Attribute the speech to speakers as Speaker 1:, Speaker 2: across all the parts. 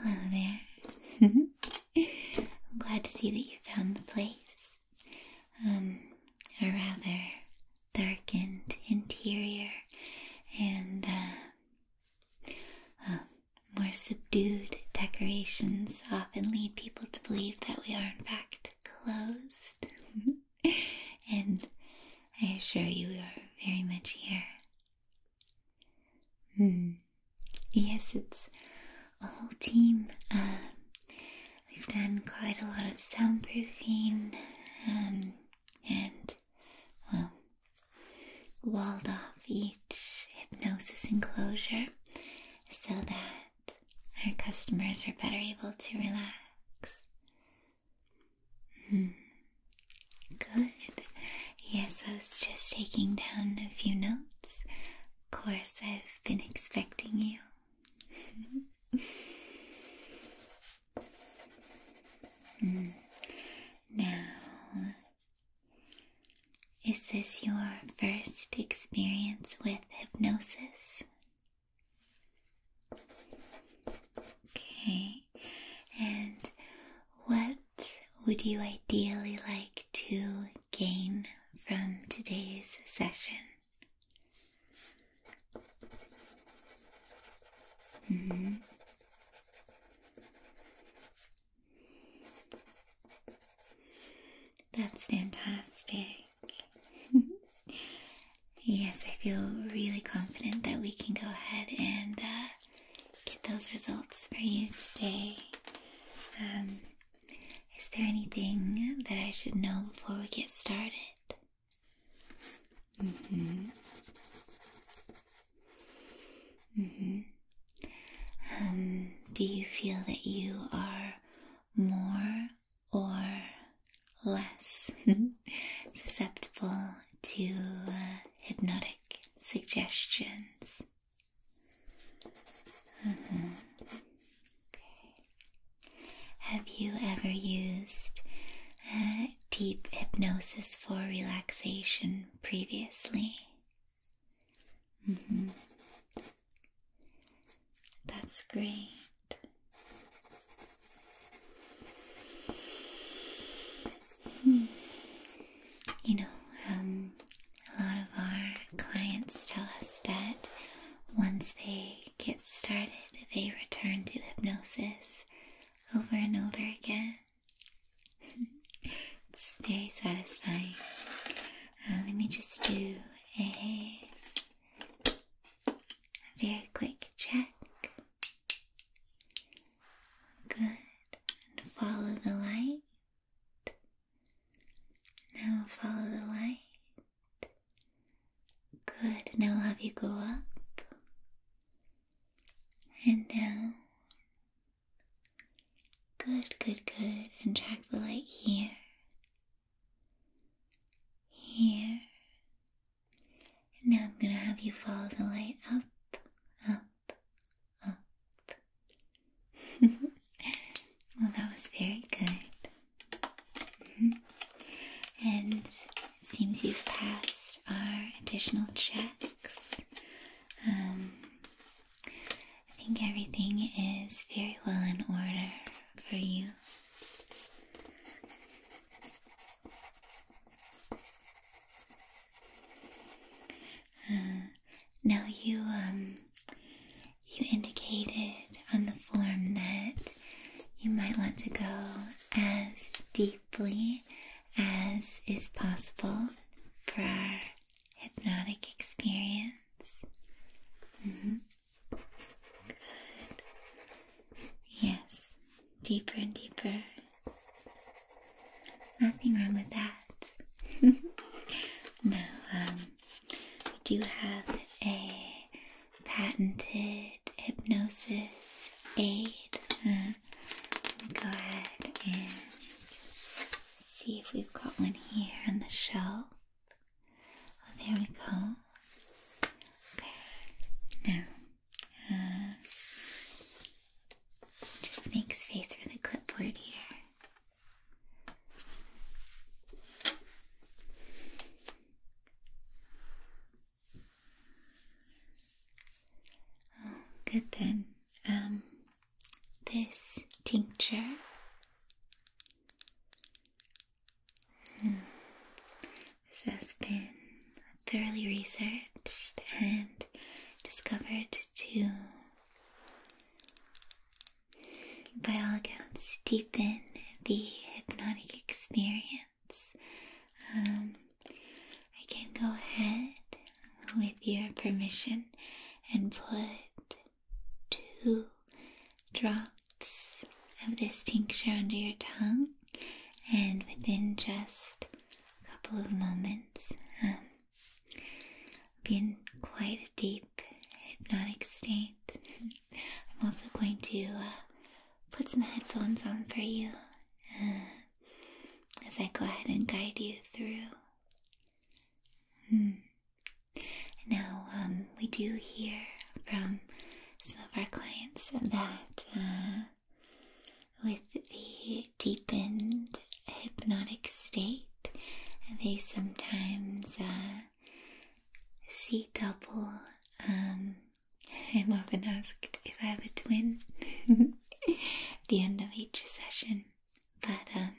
Speaker 1: Hello there. I'm glad to see that you found the place. Um, a rather darkened interior and uh, uh, more subdued decorations often lead people to believe that we are in fact closed. and I assure you, we are very much here. Hmm. Yes, it's a whole team. Uh, We've done quite a lot of soundproofing um, and, well, walled off each hypnosis enclosure so that our customers are better able to relax. Hmm. Good. Yes, I was just taking down a few notes. Of course, I've been expecting you. Now, is this your first experience with hypnosis? Okay, and what would you ideally like to gain from today's session? Mm-hmm. That's fantastic. yes, I feel really confident that we can go ahead and uh, get those results for you today. Um, is there anything that I should know before we get started? Mm hmm. Mm hmm. Um, do you feel that you are more or less susceptible to uh, hypnotic suggestions? Mm-hmm. Have you ever used deep hypnosis for relaxation previously? Mm-hmm. That's great. Hmm. You know, um, a lot of our clients tell us that once they get started, they return to hypnosis over and over again. it's very satisfying. Uh, let me just do a, very quick check. Good. follow the light. Now follow the light. Good. Now I'll have you go up and down. Good, good, good. And track the light here. Here. And now I'm going to have you follow the light up, up, well, that was very good. Mm-hmm. And it seems you've passed our additional checks. Um, I think everything is very well in order for you. Uh, now you um, you indicated on the form that you might want to go as deeply as is possible for our hypnotic experience. Mm-hmm. Good. Yes, deeper and deeper Nothing wrong with that. no, um, we do have a patented hypnosis aid. Uh, let me go ahead and see if we've got one here on the shelf. Oh, there we go. Okay, now, uh, just make space for the clipboard here. Oh, good then. Um, this tincture. Hmm. This thoroughly researched and discovered to, by all accounts, deepen the hypnotic experience. Um, I can go ahead, with your permission, and put two drops of this tincture under your tongue, and within just a couple of moments moments um, be in quite a deep hypnotic state. I'm also going to uh, put some headphones on for you uh, as I go ahead and guide you through. Hmm. Now, um, we do hear from some of our clients that uh, with the deepened hypnotic state, they sometimes uh, see double. Um, I'm often asked if I have a twin at the end of each session, but um,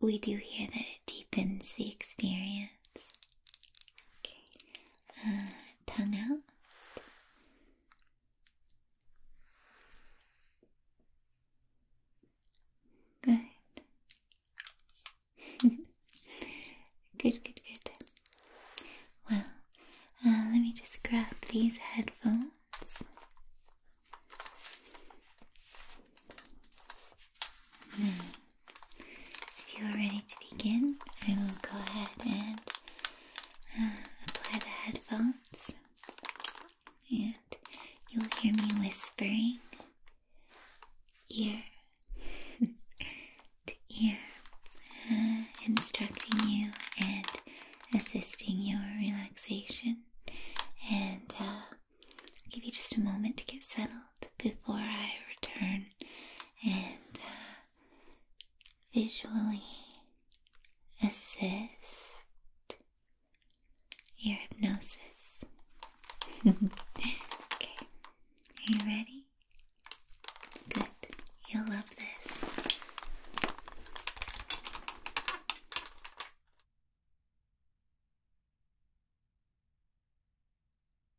Speaker 1: we do hear that it deepens the experience. Okay. Uh, tongue out. Good. good, good, good. Well, uh, let me just grab these headphones. Hmm. if you are ready to begin, I will go ahead and uh, apply the headphones, and you'll hear me whispering ear to ear, uh, instructing you and assisting your relaxation. And uh, give you just a moment to get settled before I return and uh, visually assist your hypnosis. okay, are you ready? Good, you'll love this.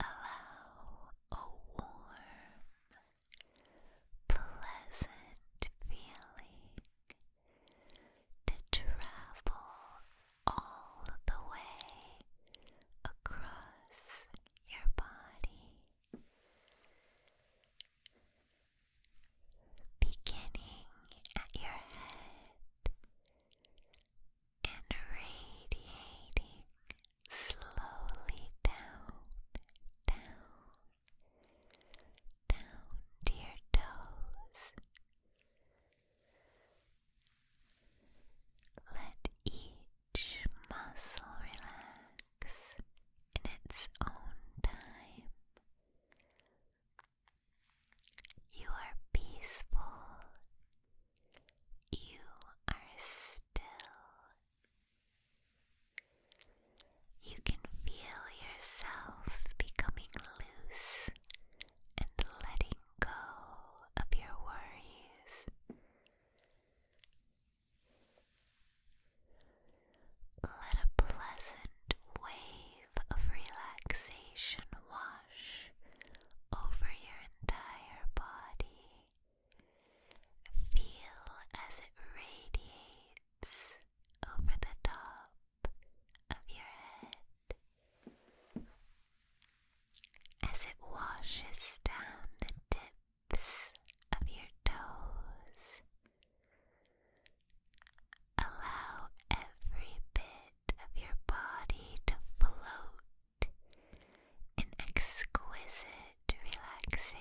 Speaker 1: Allow a warm, pleasant feeling
Speaker 2: to travel all the way across your body. Beginning at your head and radiating slowly down, down, down to your toes. Let each muscle relax in its own time. You are peaceful you are still. You can feel yourself becoming loose and letting go of your worries. Let a pleasant wave of relaxation wash wash over your entire body. Feel as it radiates over the top of your head as it washes down the tips of your toes. Allow every bit of your body to float an exquisite relaxation.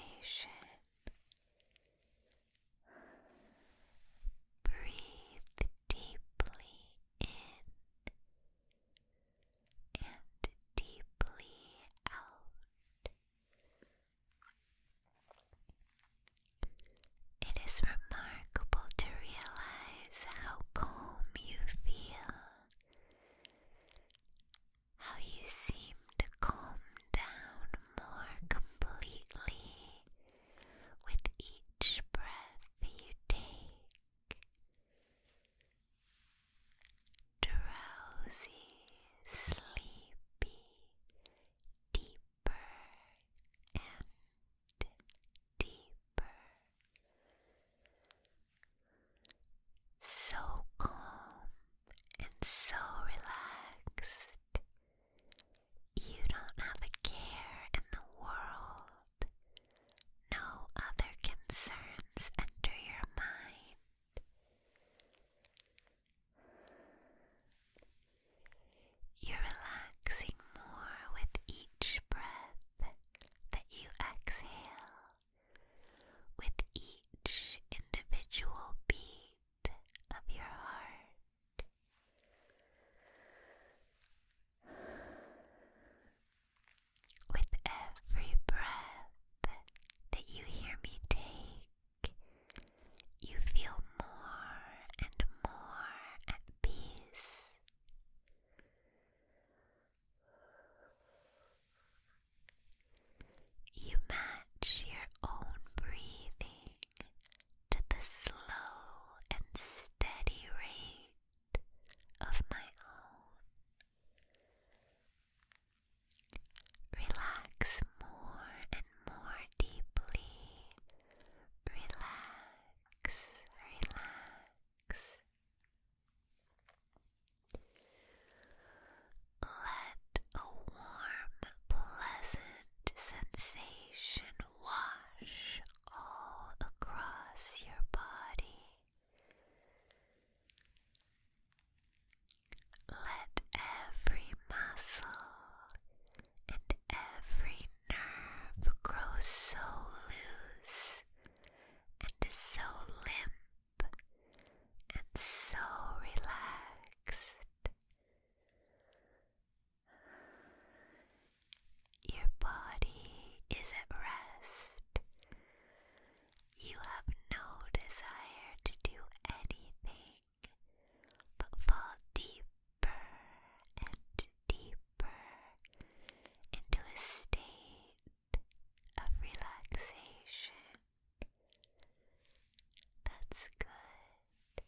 Speaker 2: Breathe deeply in and deeply out. It is remarkable to realize how calm you feel, how you seem to calm down more completely with each breath you take. Drowsy, sleepy, deeper and deeper. So calm and so relaxed. You don't have a care in the world. No other concerns enter your mind. You're relaxing more with each breath that you exhale. With each individual beat of your heart. With every breath that you hear me take, you feel more and more at peace you match your own breathing to the slow and steady rate of my own. Relax more and more deeply. Relax relax. Let a warm, pleasant sensation wash all across your body. Let every muscle and every nerve grows so loose and is so limp and so relaxed. Your body is at rest. You have no desire to do anything but fall deeper and deeper into a state of relaxation. That's good.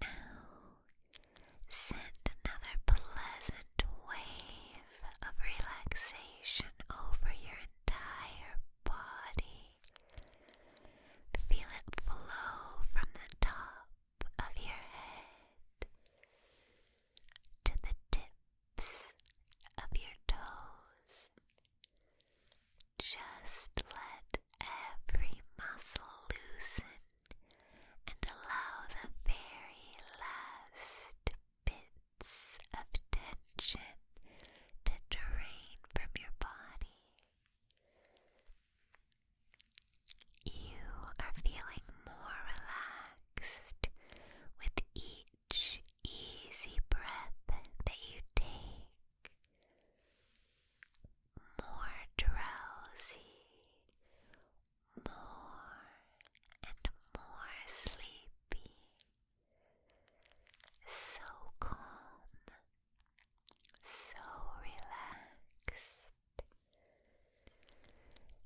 Speaker 2: Now, send another pleasant wave of relaxation over your entire body. Feel it flow from the top of your head to the tips of your toes. Just let every muscle loosen and allow the very last bit of tension to drain from your body. You are feeling more relaxed with each easy breath that you take. More drowsy, more and more sleepy so calm, so relaxed.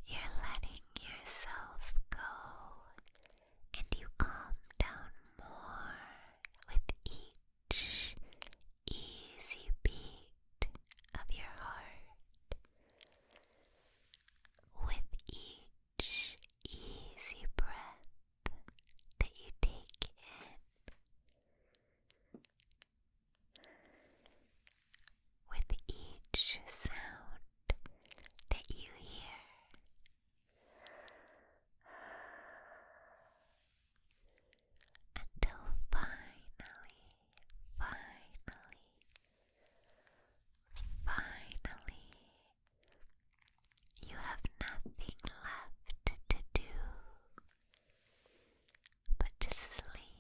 Speaker 2: You're letting yourself go, and you calm down more with each easy beat of your heart. With each each easy breath that you take in. With each sound that you hear, until finally, finally, Finally, you have nothing left to do but to sleep,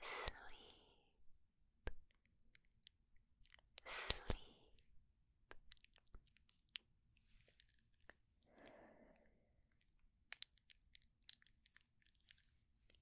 Speaker 2: sleep, sleep.